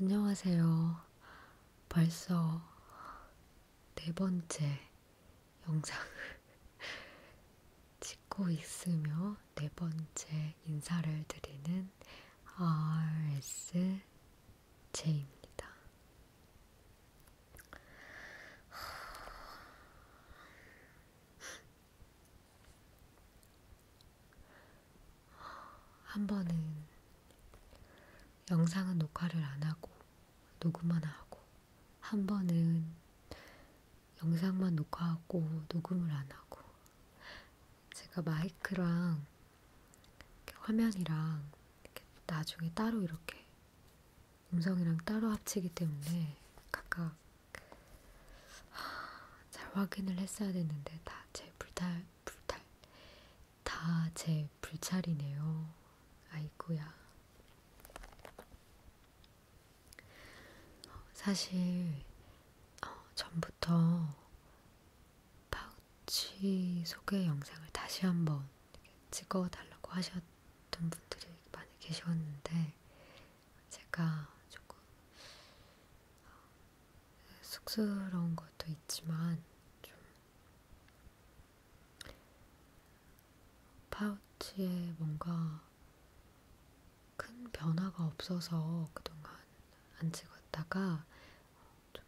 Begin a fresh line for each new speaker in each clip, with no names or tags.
안녕하세요. 벌써 네 번째 영상을 찍고 있으며 네 번째 인사를 드리는 RSJ입니다. 한 번은 영상은 녹화를 안 하고 녹음만 하고 한 번은 영상만 녹화하고 녹음을 안 하고 제가 마이크랑 이렇게 화면이랑 이렇게 나중에 따로 이렇게 음성이랑 따로 합치기 때문에 각각 잘 확인을 했어야 됐는데 다 제 불탈 불탈 다제 불찰이네요. 아이고야. 어, 사실 어, 전부터 파우치 소개 영상을 다시 한번 찍어달라고 하셨던 분들이 많이 계셨는데 제가 조금 어, 쑥스러운 것도 있지만 좀 파우치에 뭔가 큰 변화가 없어서 그동안 안 찍었다가 좀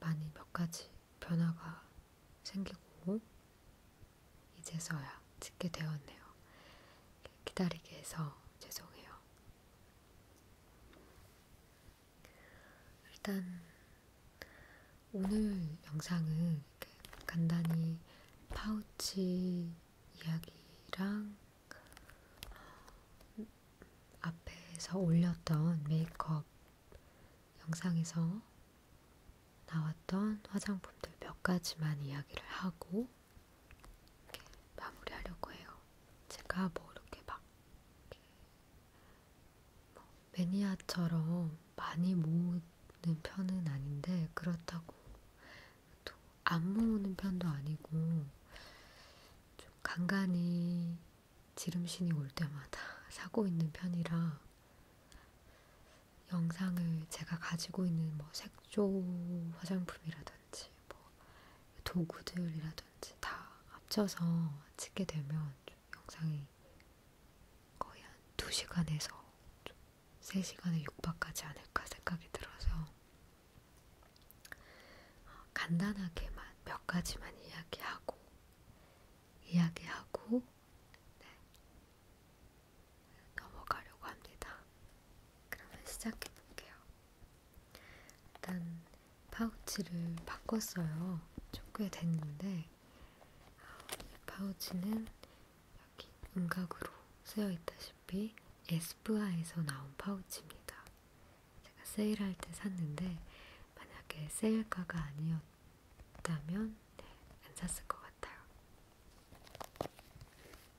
많이 몇 가지 변화가 생기고 이제서야 찍게 되었네요. 기다리게 해서 죄송해요. 일단 오늘 영상은 간단히 파우치 이야기랑 어, 앞에서 올렸던 메이크업 영상에서 나왔던 화장품들 몇 가지만 이야기를 하고 이렇게 마무리하려고 해요. 제가 뭐 이렇게 막 이렇게 뭐 매니아처럼 많이 모으는 편은 아닌데 그렇다고 또 안 모으는 편도 아니고 좀 간간히 지름신이 올 때마다 사고 있는 편이라 영상을 제가 가지고 있는 뭐 색조 화장품이라든지 도구라든지 뭐 도구들이라든지 다 합쳐서 찍게 되면 좀 영상이 거의 한 2시간에서 좀 3시간에 육박하지 않을까 생각이 들어서 간단하게만 몇 가지만 이야기하고 이야기하고 네. 넘어가려고 합니다. 그러면 시작해 볼게요. 일단 파우치를 바꿨어요. 좀꽤 됐는데 이 파우치는 여기 음각으로 쓰여 있다시피 에스쁘아에서 나온 파우치입니다. 제가 세일할 때 샀는데 만약에 세일가가 아니었다면 네, 안 샀을 것 같아요.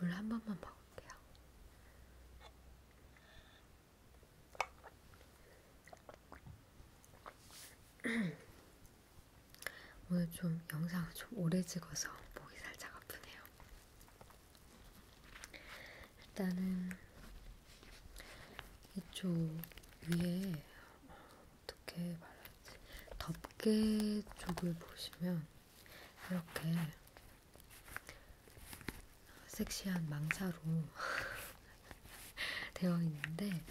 물한 번만 먹을게요. 오늘 좀 영상을 좀 오래 찍어서 목이 살짝 아프네요. 일단은 이쪽 위에 어떻게 말하지? 덮개 쪽을 보시면 이렇게 섹시한 망사로 되어 있는데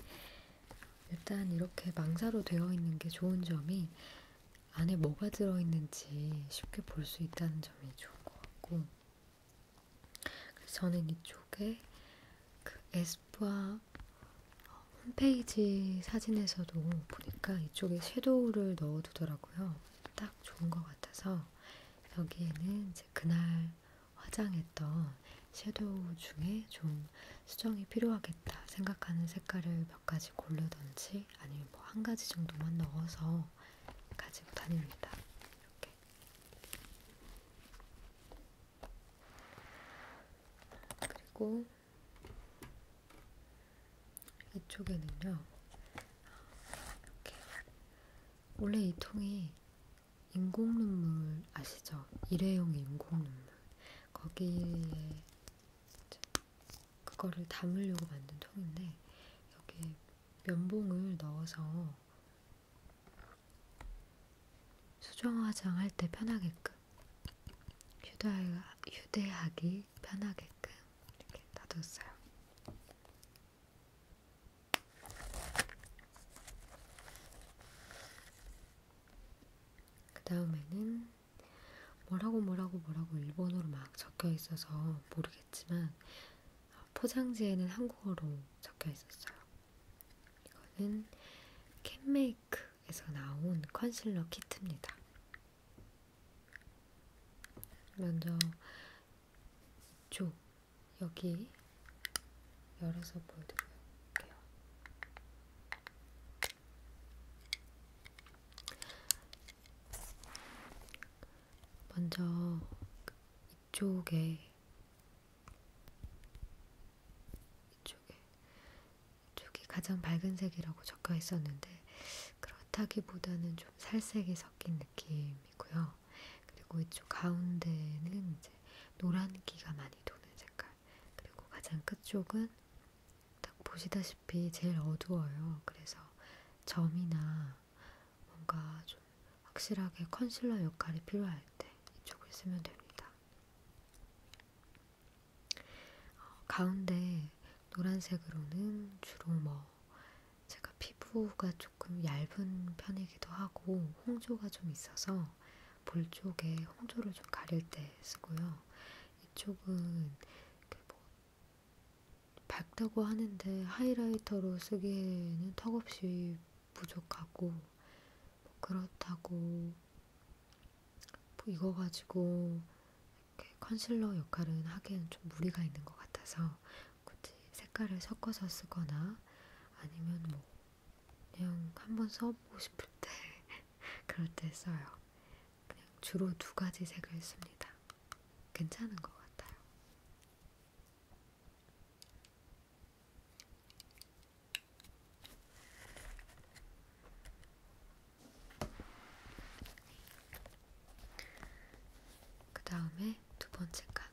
일단 이렇게 망사로 되어 있는 게 좋은 점이 안에 뭐가 들어있는지 쉽게 볼 수 있다는 점이 좋은 것 같고 그래서 저는 이쪽에 그 에스쁘아 홈페이지 사진에서도 보니까 이쪽에 섀도우를 넣어두더라고요. 딱 좋은 것 같아서 여기에는 이제 그날 화장했던 섀도우 중에 좀 수정이 필요하겠다 생각하는 색깔을 몇 가지 고르던지 아니면 뭐 한 가지 정도만 넣어서 가지고 다닙니다. 이렇게. 이렇게 그리고 이쪽에는요. 이렇게 원래 이 통이 인공 눈물 아시죠? 일회용 인공 눈물 거기에 그거를 담으려고 만든 통인데 여기 면봉을 넣어서 수정 화장할 때 편하게끔 휴대, 휴대하기 편하게끔 이렇게 놔뒀어요. 그 다음에는 뭐라고 뭐라고 뭐라고 일본어로 막 적혀 있어서 모르겠지만 포장지에는 한국어로 적혀 있었어요. 이거는 캔메이크에서 나온 컨실러 키트입니다. 먼저 쪽 여기 열어서 보여드릴게요. 먼저 이쪽에 이쪽에 이쪽이 가장 밝은 색이라고 적혀 있었는데 그렇다기보다는 좀 살색이 섞인 느낌이고요. 그리고 이쪽 가운데는 이제 노란기가 많이 도는 색깔. 그리고 가장 끝쪽은 딱 보시다시피 제일 어두워요. 그래서 점이나 뭔가 좀 확실하게 컨실러 역할이 필요할 때 이쪽을 쓰면 됩니다. 어, 가운데 노란색으로는 주로 뭐 제가 피부가 조금 얇은 편이기도 하고 홍조가 좀 있어서 볼 쪽에 홍조를 좀 가릴 때 쓰고요. 이쪽은 그뭐 밝다고 하는데 하이라이터로 쓰기에는 턱없이 부족하고 뭐 그렇다고 뭐 이거 가지고 이렇게 컨실러 역할은 하기에는 좀 무리가 있는 것 같아서 굳이 색깔을 섞어서 쓰거나 아니면 뭐 그냥 한번 써보고 싶을 때 그럴 때 써요. 그냥 주로 두 가지 색을 씁니다. 괜찮은 것 같아요. 그 다음에 두 번째 칸.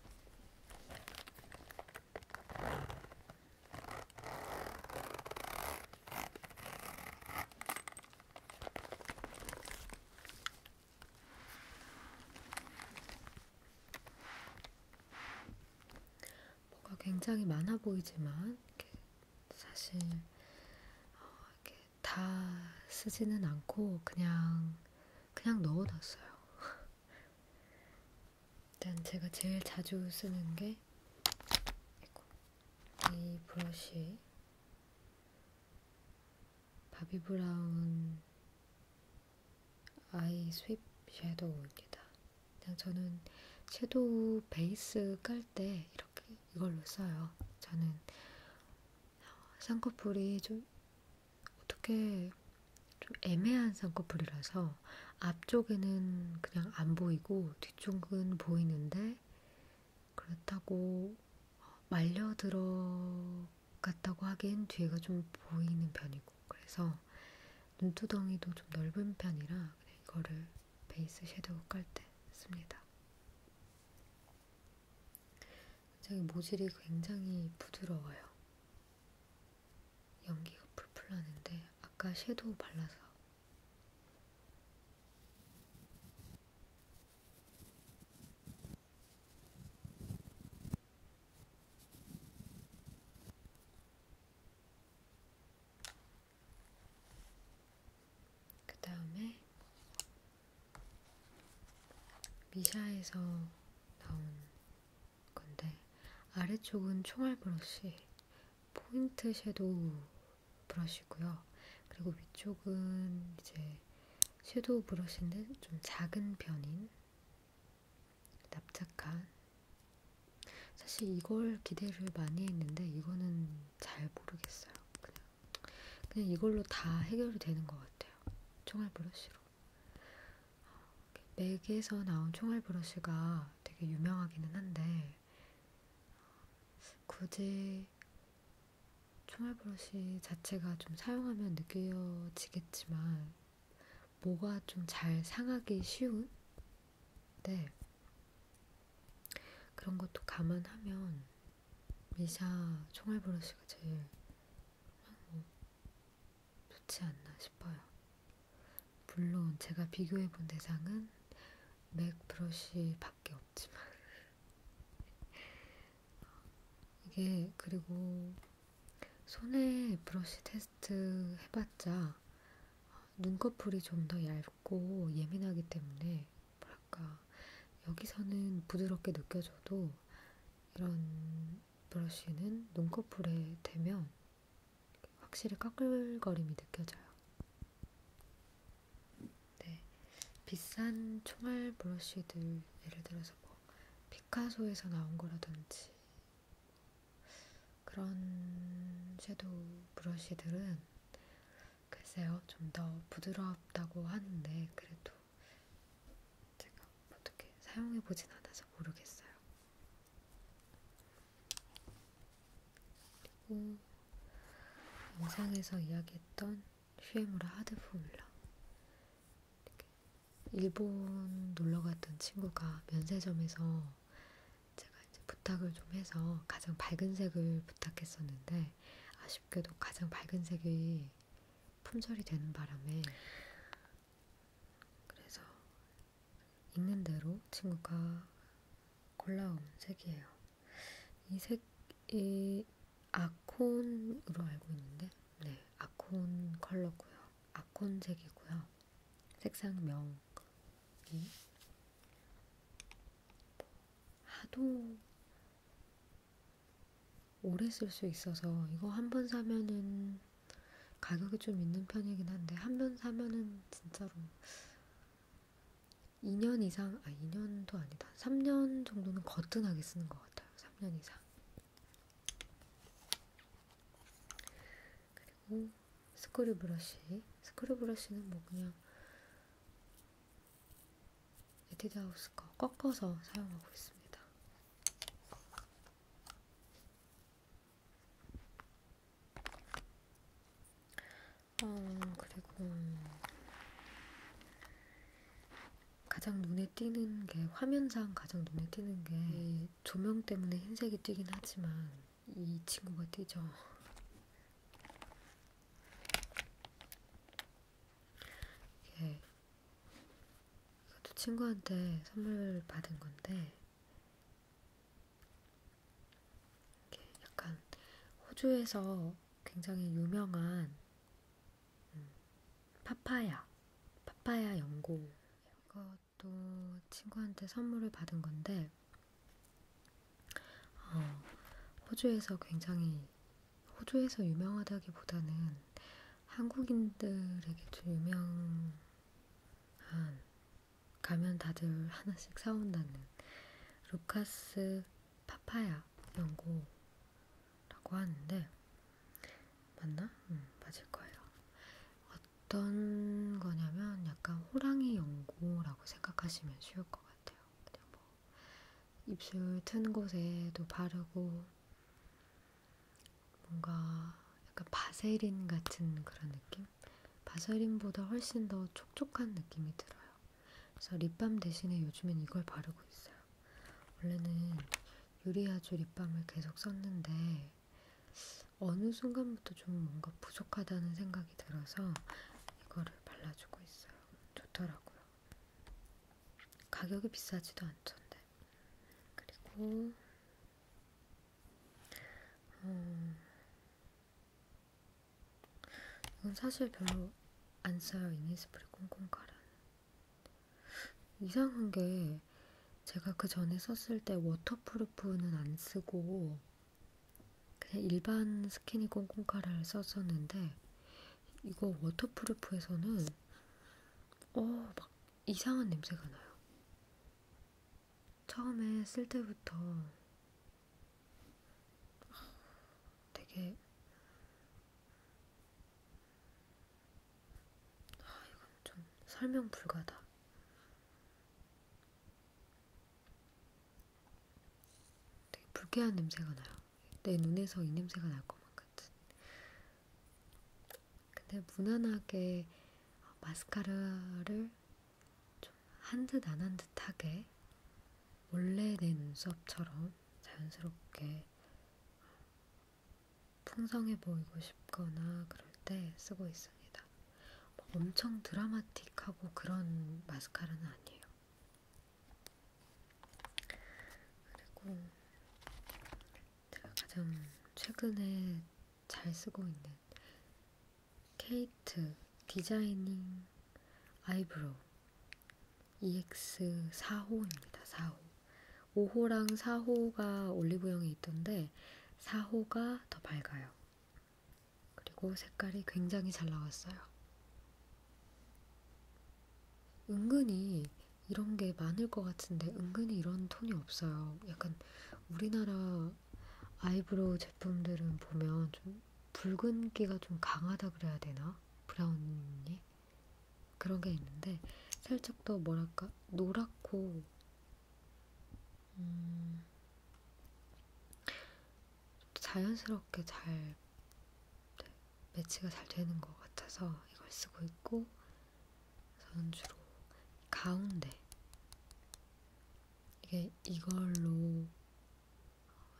뭐가 굉장히 많아 보이지만 이렇게 사실 어, 이렇게 다 쓰지는 않고 그냥 그냥 넣어놨어요. 일단 제가 제일 자주 쓰는 게 이 브러쉬 바비 브라운 아이 스윕 섀도우입니다. 그냥 저는 섀도우 베이스 깔 때 이렇게 이걸로 써요. 저는 쌍꺼풀이 좀 어떻게 좀 애매한 쌍꺼풀이라서 앞쪽에는 그냥 안 보이고 뒤쪽은 보이는데 그렇다고 말려 들어갔다고 하기엔 뒤가 좀 보이는 편이고 그래서 눈두덩이도 좀 넓은 편이라 그냥 이거를 베이스 섀도우 깔 때 씁니다. 굉장히 모질이 굉장히 부드러워요. 연기가 풀풀 나는데 아까 섀도우 발라서 그 다음에 미샤에서 나온 건데 아래쪽은 총알 브러쉬 포인트 섀도우 브러쉬고요. 그리고 위쪽은 이제 섀도우 브러쉬인데 좀 작은 편인 납작한 사실 이걸 기대를 많이 했는데 이거는 잘 모르겠어요. 그냥, 그냥 이걸로 다 해결이 되는 것 같아요. 총알 브러쉬로. 맥에서 나온 총알 브러쉬가 되게 유명하기는 한데 어, 굳이 총알 브러쉬 자체가 좀 사용하면 느껴지겠지만 뭐가 좀 잘 상하기 쉬운? 네. 그런 것도 감안하면 미샤 총알 브러쉬가 제일 뭐 좋지 않나 싶어요. 물론 제가 비교해 본 대상은 맥 브러쉬밖에 없지만 이게 그리고 손에 브러쉬 테스트 해봤자 눈꺼풀이 좀 더 얇고 예민하기 때문에 뭐랄까 여기서는 부드럽게 느껴져도 이런 브러쉬는 눈꺼풀에 대면 확실히 까끌거림이 느껴져요. 네, 비싼 총알 브러쉬들 예를 들어서 그래서 뭐 피카소에서 나온 거라든지 그런 섀도우 브러쉬들은 글쎄요 좀 더 부드럽다고 하는데 그래도 제가 어떻게 사용해 보진 않아서 모르겠어요. 그리고 영상에서 이야기했던 슈에무라 하드 포뮬러 일본 놀러 갔던 친구가 면세점에서 제가 이제 부탁을 좀 해서 가장 밝은 색을 부탁했었는데 아쉽게도 가장 밝은 색이 품절이 되는 바람에 그래서 있는 대로 친구가 골라온 색이에요. 이 색이 아콘으로 알고 있는데, 네, 아콘 컬러고요. 아콘색이고요. 색상명이 하도 오래 쓸 수 있어서 이거 한 번 사면은 가격이 좀 있는 편이긴 한데 한 번 사면은 진짜로 2년 이상, 아 2년도 아니다. 3년 정도는 거뜬하게 쓰는 것 같아요. 3년 이상. 그리고 스크류 브러쉬. 스크류 브러쉬는 뭐 그냥 에뛰드하우스 거 꺾어서 사용하고 있습니다. 어, 그리고 가장 눈에 띄는 게 화면상 가장 눈에 띄는 게 음. 조명 때문에 흰색이 띄긴 하지만 이 친구가 띄죠. 이게 이것도 친구한테 선물 받은 건데 이게 약간 호주에서 굉장히 유명한 음, 파파야, 파파야 연고. 이것도 친구한테 선물을 받은 건데, 어, 호주에서 굉장히, 호주에서 유명하다기보다는 한국인들에게도 유명한, 가면 다들 하나씩 사온다는 루카스 파파야 연고. 라고 하는데, 맞나? 음, 맞을 거예요. 어떤 거냐면 약간 호랑이 연고라고 생각하시면 쉬울 것 같아요. 그냥 뭐 입술 튼 곳에도 바르고 뭔가 약간 바세린 같은 그런 느낌? 바세린보다 훨씬 더 촉촉한 느낌이 들어요. 그래서 립밤 대신에 요즘엔 이걸 바르고 있어요. 원래는 유리아주 립밤을 계속 썼는데 어느 순간부터 좀 뭔가 부족하다는 생각이 들어서 이거를 발라주고 있어요. 좋더라고요. 가격이 비싸지도 않던데. 그리고 어, 이건 사실 별로 안 써요. 이니스프리 콩콩가루. 이상한 게 제가 그 전에 썼을 때 워터프루프는 안 쓰고 그냥 일반 스키니 꽁꽁카를 썼었는데 이거 워터프루프에서는 어 막 이상한 냄새가 나요. 처음에 쓸 때부터 되게 아, 이건 좀 설명 불가다. 되게 불쾌한 냄새가 나요. 내 눈에서 이 냄새가 날 것만 같은. 근데 무난하게 마스카라를 좀 한 듯 안 한 듯하게 원래 내 눈썹처럼 자연스럽게 풍성해 보이고 싶거나 그럴 때 쓰고 있습니다. 뭐 엄청 드라마틱하고 그런 마스카라는 아니에요. 그리고 제가 가장 최근에 잘 쓰고 있는 케이트 디자이닝 아이브로우 EX45입니다. 4호. 5호랑 4호가 올리브영에 있던데 4호가 더 밝아요. 그리고 색깔이 굉장히 잘 나왔어요. 은근히 이런 게 많을 것 같은데 은근히 이런 톤이 없어요. 약간 우리나라 아이브로우 제품들은 보면 좀 붉은기가 좀 강하다 그래야 되나? 브라운이? 그런 게 있는데 살짝 더 뭐랄까 노랗고 음, 자연스럽게 잘 네, 매치가 잘 되는 것 같아서 이걸 쓰고 있고 저는 주로 가운데 이게 이걸로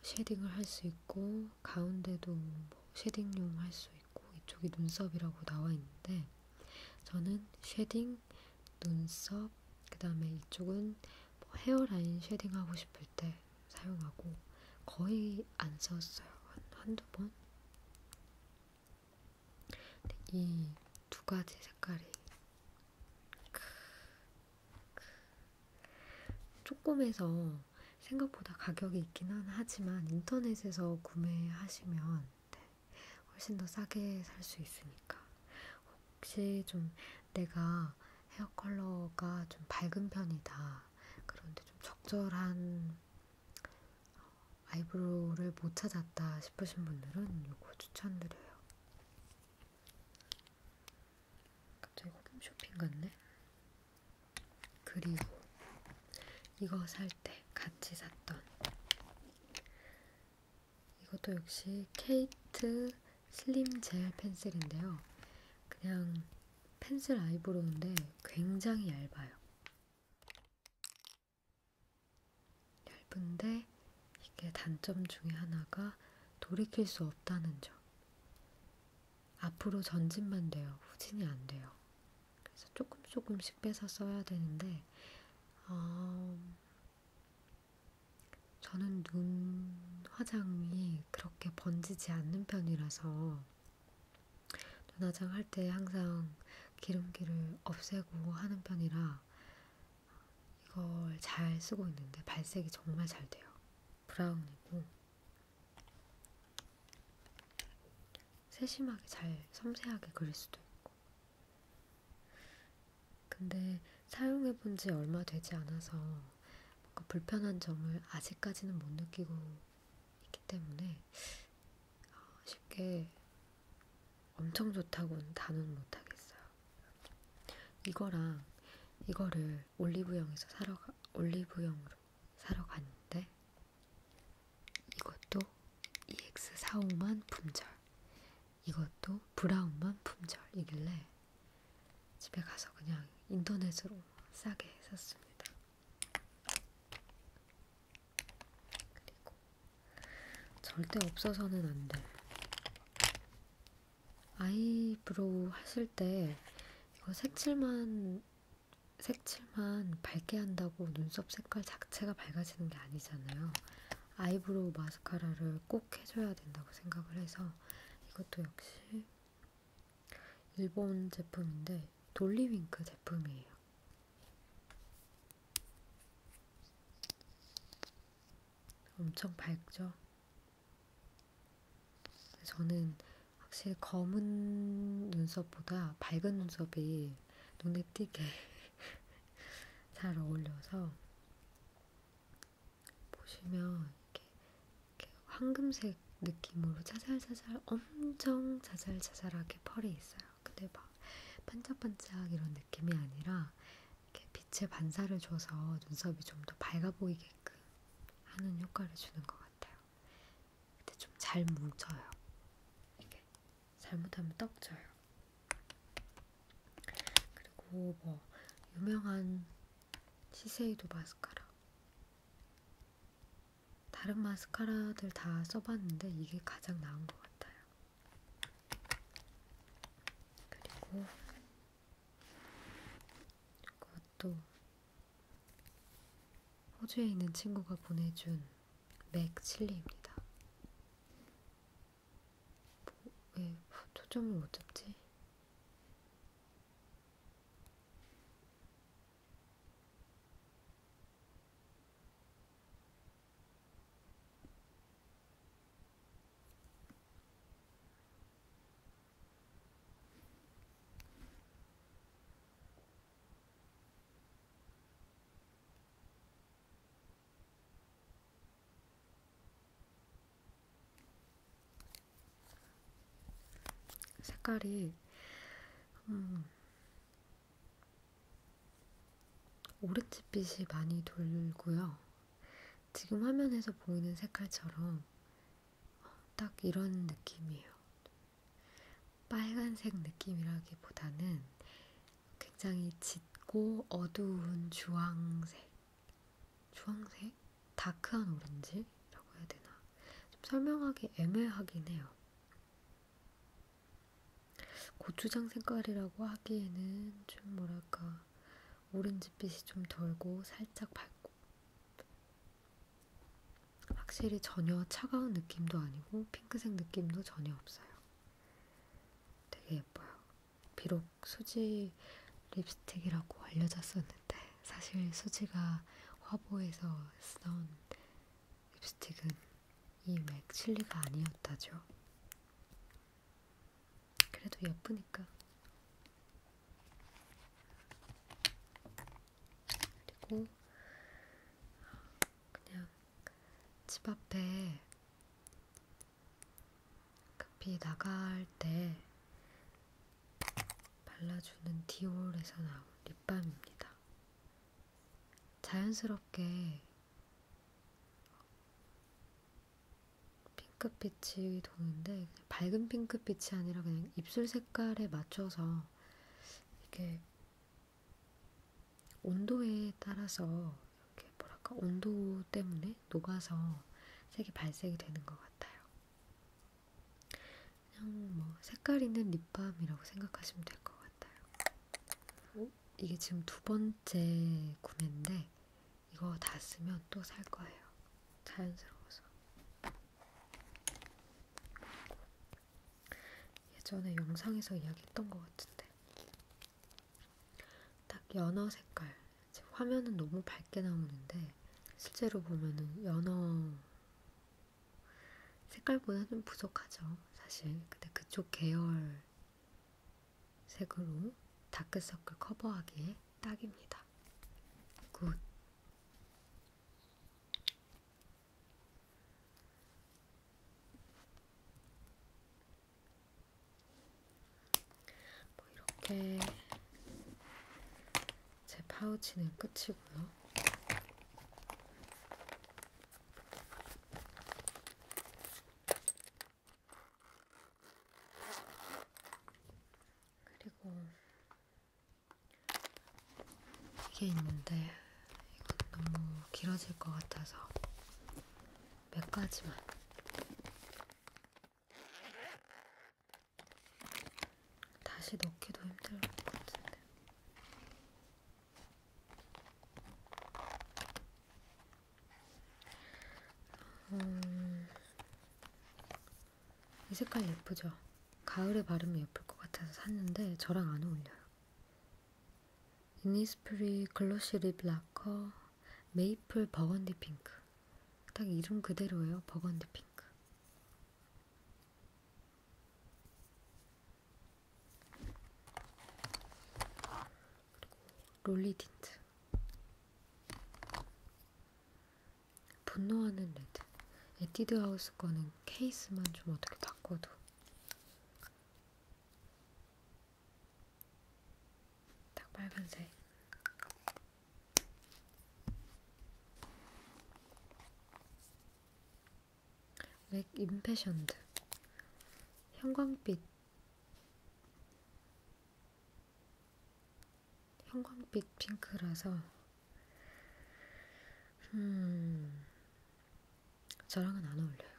쉐딩을 할 수 있고 가운데도 뭐 쉐딩용 할수 있고 이쪽이 눈썹이라고 나와 있는데 저는 쉐딩, 눈썹, 그 다음에 이쪽은 뭐 헤어라인 쉐딩 하고 싶을 때 사용하고 거의 안 썼어요. 한, 한두 번? 이 두 가지 색깔이 조금해서 생각보다 가격이 있기는 하지만 인터넷에서 구매하시면 네, 훨씬 더 싸게 살 수 있으니까 혹시 좀 내가 헤어 컬러가 좀 밝은 편이다 그런데 좀 적절한 어, 아이브로우를 못 찾았다 싶으신 분들은 이거 추천드려요. 갑자기 홈쇼핑 같네. 그리고 이거 살 때 같이 샀던 이것도 역시 케이트 슬림 젤 펜슬인데요. 그냥 펜슬 아이브로우인데 굉장히 얇아요. 얇은데 이게 단점 중에 하나가 돌이킬 수 없다는 점. 앞으로 전진만 돼요. 후진이 안 돼요. 그래서 조금 조금씩 빼서 써야 되는데, 어, 저는 눈 화장이 그렇게 번지지 않는 편이라서 눈 화장할 때 항상 기름기를 없애고 하는 편이라 이걸 잘 쓰고 있는데 발색이 정말 잘 돼요. 브라운이고 세심하게 잘 섬세하게 그릴 수도 있고 근데 사용해본 지 얼마 되지 않아서 뭔가 불편한 점을 아직까지는 못 느끼고 있기 때문에 아, 쉽게 엄청 좋다고는 단언 못하겠어요. 이거랑 이거를 올리브영에서 사러 가, 올리브영으로 사러 갔는데 이것도 EX45만 품절, 이것도 브라운만 품절이길래 집에 가서 그냥 인터넷으로 싸게 샀습니다. 그리고 절대 없어서는 안 돼. 아이브로우 하실 때 이거 색칠만 색칠만 밝게 한다고 눈썹 색깔 자체가 밝아지는 게 아니잖아요. 아이브로우 마스카라를 꼭 해줘야 된다고 생각을 해서 이것도 역시 일본 제품인데 돌리윙크 제품이에요. 엄청 밝죠? 저는 확실히 검은 눈썹보다 밝은 눈썹이 눈에 띄게 잘 어울려서 보시면 이렇게, 이렇게 황금색 느낌으로 자잘자잘 엄청 자잘자잘하게 펄이 있어요. 근데 막 반짝반짝 이런 느낌이 아니라 이렇게 빛의 반사를 줘서 눈썹이 좀 더 밝아 보이게끔 하는 효과를 주는 것 같아요. 근데 좀 잘 뭉쳐요. 이게 잘못하면 떡져요. 그리고 뭐 유명한 시세이도 마스카라. 다른 마스카라들 다 써봤는데 이게 가장 나은 것 같아요. 그리고 그것도 호주에 있는 친구가 보내준 맥 칠리입니다. 뭐, 왜 초점을 못 잡지? 색깔이 음, 오렌지빛이 많이 돌고요. 지금 화면에서 보이는 색깔처럼 딱 이런 느낌이에요. 빨간색 느낌이라기보다는 굉장히 짙고 어두운 주황색, 주황색? 다크한 오렌지라고 해야 되나? 좀 설명하기 애매하긴 해요. 고추장 색깔이라고 하기에는 좀 뭐랄까 오렌지빛이 좀 덜고 살짝 밝고 확실히 전혀 차가운 느낌도 아니고 핑크색 느낌도 전혀 없어요. 되게 예뻐요. 비록 수지 립스틱이라고 알려졌었는데 사실 수지가 화보에서 쓰던 립스틱은 이 맥칠리가 아니었다죠. 그래도 예쁘니까. 그리고 그냥 집 앞에 급히 나갈 때 발라주는 디올에서 나온 립밤입니다. 자연스럽게 핑크빛이 도는데 밝은 핑크빛이 아니라 그냥 입술 색깔에 맞춰서 이게 온도에 따라서 이렇게 뭐랄까 온도 때문에 녹아서 색이 발색이 되는 것 같아요. 그냥 뭐 색깔 있는 립밤이라고 생각하시면 될 것 같아요. 오? 어? 이게 지금 두 번째 구매인데 이거 다 쓰면 또 살 거예요. 자연스러워서. 예전에 영상에서 이야기했던 것 같은데 딱 연어 색깔 화면은 너무 밝게 나오는데 실제로 보면은 연어 색깔보다 좀 부족하죠 사실 근데 그쪽 계열 색으로 다크서클 커버하기에 딱입니다 굿뭐 이렇게 제 파우치는 끝이고요. 그리고 이게 있는데 이건 너무 길어질 것 같아서 몇 가지만 다시 넣기도 힘들 것 같은데 음, 이 색깔 예쁘죠? 가을에 바르면 예쁠 것 같아서 샀는데 저랑 안 어울려요. 이니스프리 글로시 립 라커 메이플 버건디 핑크. 딱 이름 그대로예요. 버건디 핑크. 그리고 롤리 틴트. 분노하는 레드. 에뛰드하우스 거는 케이스만 좀 어떻게 바꿔도. 딱 빨간색. 맥 임패션드. 형광빛. 형광빛 핑크라서 음, 저랑은 안 어울려요.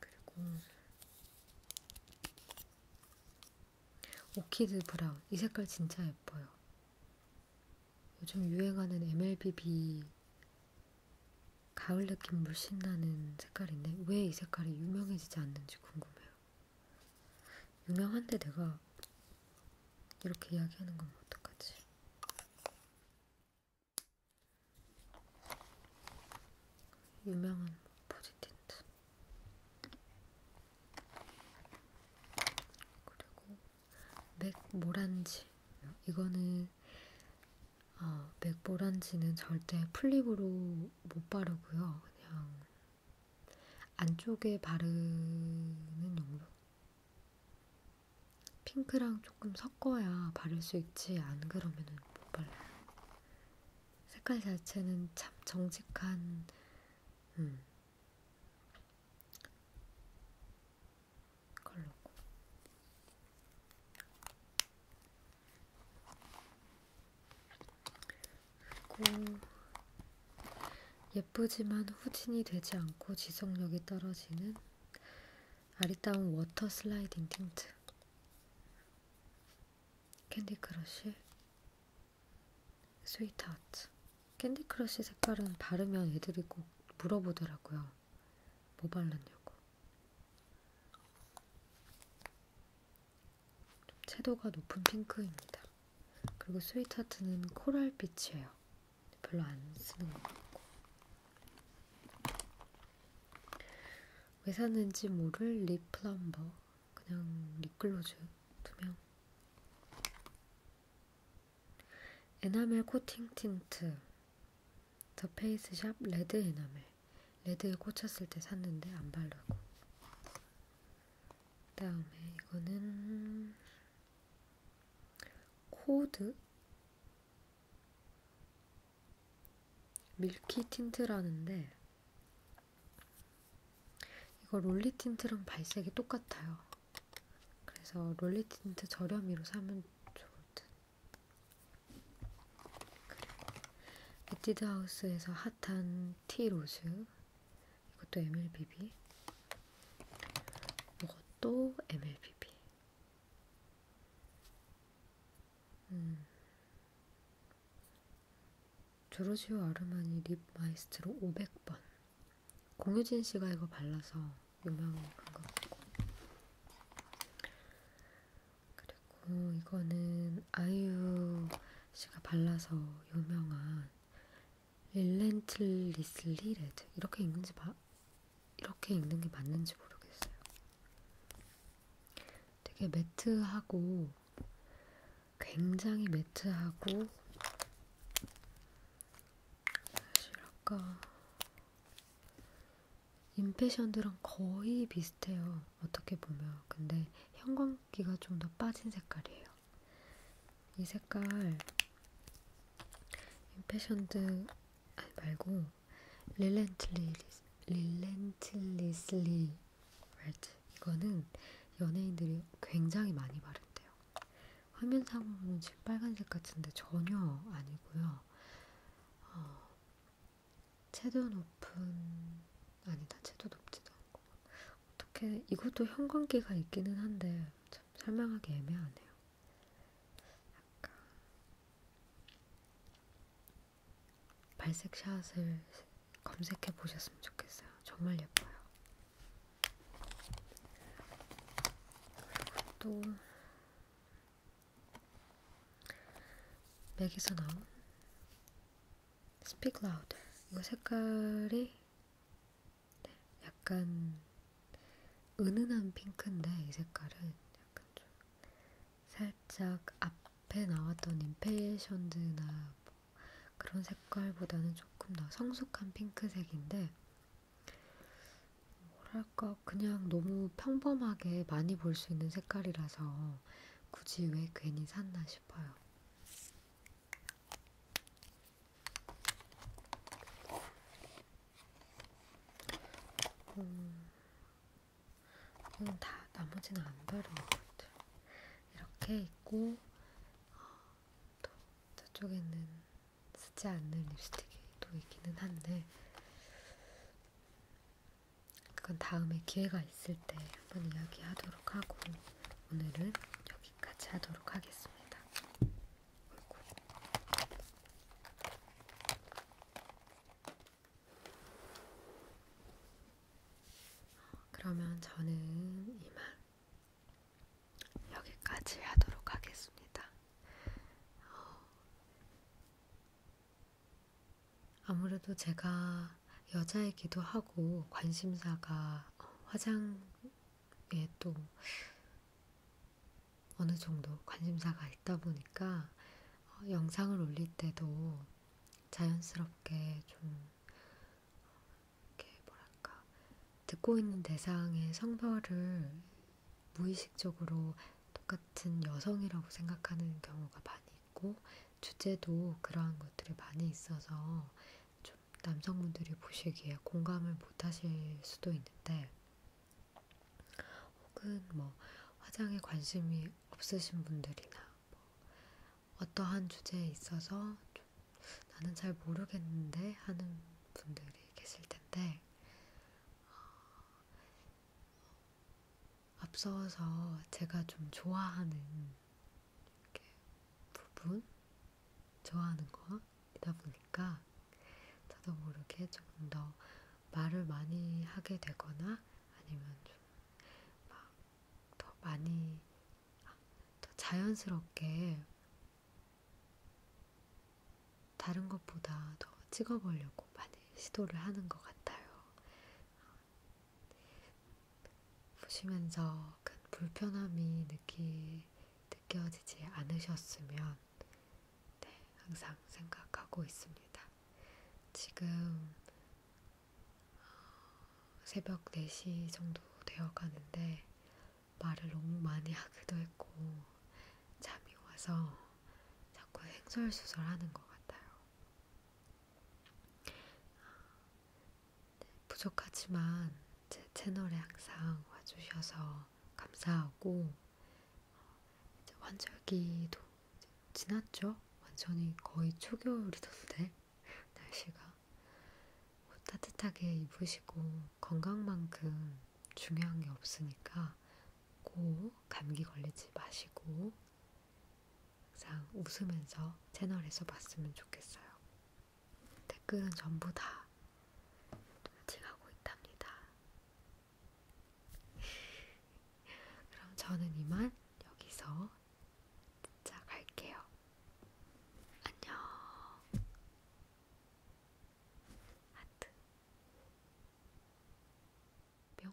그리고 오키드 브라운 이 색깔 진짜 예뻐요. 요즘 유행하는 MLBB 가을 느낌 물씬 나는 색깔인데 왜 이 색깔이 유명해지지 않는지 궁금해요. 유명한데 내가 이렇게 이야기하는 건 어떡하지? 유명한 보지틴트 그리고 맥모란지 이거는 어, 맥모란지는 절대 플립으로 못 바르고요. 그냥 안쪽에 바르는 용도? 핑크랑 조금 섞어야 바를 수 있지 안 그러면 못 발라요. 색깔 자체는 참 정직한 음. 컬러고 그리고 예쁘지만 후진이 되지 않고 지속력이 떨어지는 아리따운 워터 슬라이딩 틴트 캔디 크러쉬 스위트하트 캔디 크러쉬 색깔은 바르면 애들이 꼭 물어보더라고요. 뭐 발랐냐고. 좀 채도가 높은 핑크입니다. 그리고 스위트하트는 코랄빛이에요. 별로 안 쓰는 것 같고. 왜 샀는지 모를 립 플럼버. 그냥 립글로즈 두명 에나멜 코팅 틴트 더 페이스샵 레드 에나멜 레드에 꽂혔을 때 샀는데 안 바르고 다음에 이거는 코드 밀키 틴트라는데 이거 롤리 틴트랑 발색이 똑같아요. 그래서 롤리 틴트 저렴이로 사면 좋을 듯. 그리고 에뛰드 하우스에서 핫한 티 로즈 이것도 MLBB. 이것도 MLBB. 음. 조르지오 아르마니 립 마이스트로 500번. 공효진 씨가 이거 발라서 유명한 것 같고. 그리고 이거는 아이유 씨가 발라서 유명한 릴렌틀리슬리 레드 이렇게 읽는지 마, 이렇게 읽는 게 맞는지 모르겠어요. 되게 매트하고 굉장히 매트하고 사실 아까 임페션드랑 거의 비슷해요. 어떻게 보면 근데 형광기가 좀 더 빠진 색깔이에요. 이 색깔 임페션드 아니 말고 릴렌틀리스 릴렌틀리슬리 레드 이거는 연예인들이 굉장히 많이 바른대요. 화면상으로는 지금 빨간색 같은데 전혀 아니고요. 어, 채도 높은 아니다. 채도 높지도 않고. 어떻게 이것도 형광기가 있기는 한데 참 설명하기 애매하네요. 약간 발색 샷을 검색해 보셨으면 좋겠어요. 정말 예뻐요. 그리고 또 맥에서 나온 Speak Louder. 이거 색깔이 네, 약간 은은한 핑크인데 이 색깔은 약간 좀 살짝 앞에 나왔던 임페션드나 뭐 그런 색깔보다는 조금 더 성숙한 핑크색인데 뭐랄까 그냥 너무 평범하게 많이 볼 수 있는 색깔이라서 굳이 왜 괜히 샀나 싶어요. 음, 이건 다 나머지는 안 바른 것 같아요. 이렇게 있고 어, 또 저쪽에는 쓰지 않는 립스틱이 또 있기는 한데 그건 다음에 기회가 있을 때 한번 이야기하도록 하도록 하고 오늘은 여기까지 하도록 하겠습니다. 어이구. 그러면 저는 이만 여기까지 하도록 하겠습니다. 어, 아무래도 제가 여자이기도 하고 관심사가 화장에 또 어느 정도 관심사가 있다 보니까 어, 영상을 올릴 때도 자연스럽게 좀 이렇게 뭐랄까 듣고 있는 대상의 성별을 무의식적으로 똑같은 여성이라고 생각하는 경우가 많이 있고 주제도 그러한 것들이 많이 있어서 좀 남성분들이 보시기에 공감을 못하실 수도 있는데, 혹은 뭐 화장에 관심이 없으신 분들이나 뭐 어떠한 주제에 있어서 좀 나는 잘 모르겠는데 하는 분들이 계실 텐데, 어, 어 앞서서 제가 좀 좋아하는 이렇게 부분 좋아하는 거이다 보니까 저도 모르게 뭐 조금 더 말을 많이 하게 되거나 아니면 좀막더 많이 아, 더 자연스럽게 다른 것보다 더 찍어보려고 많이 시도를 하는 것 같아요. 보시면서 큰 불편함이 느끼, 느껴지지 않으셨으면 네, 항상 생각하고 있습니다. 지금 어, 새벽 4시 정도 되어 가는데 말을 너무 많이 하기도 했고 잠이 와서 자꾸 행설수설하는 것 같아요. 네, 부족하지만 제 채널에 항상 와주셔서 감사하고 어, 이제 환절기도 이제 지났죠? 완전히 거의 초겨울이던데 날씨가 뭐 따뜻하게 입으시고 건강만큼 중요한 게 없으니까 꼭 감기 걸리지 마시고 항상 웃으면서 채널에서 봤으면 좋겠어요. 댓글은 전부 다 눈치하고 있답니다. 그럼 저는 이만 여기서 진짜 갈게요. 안녕. 하트. 뿅.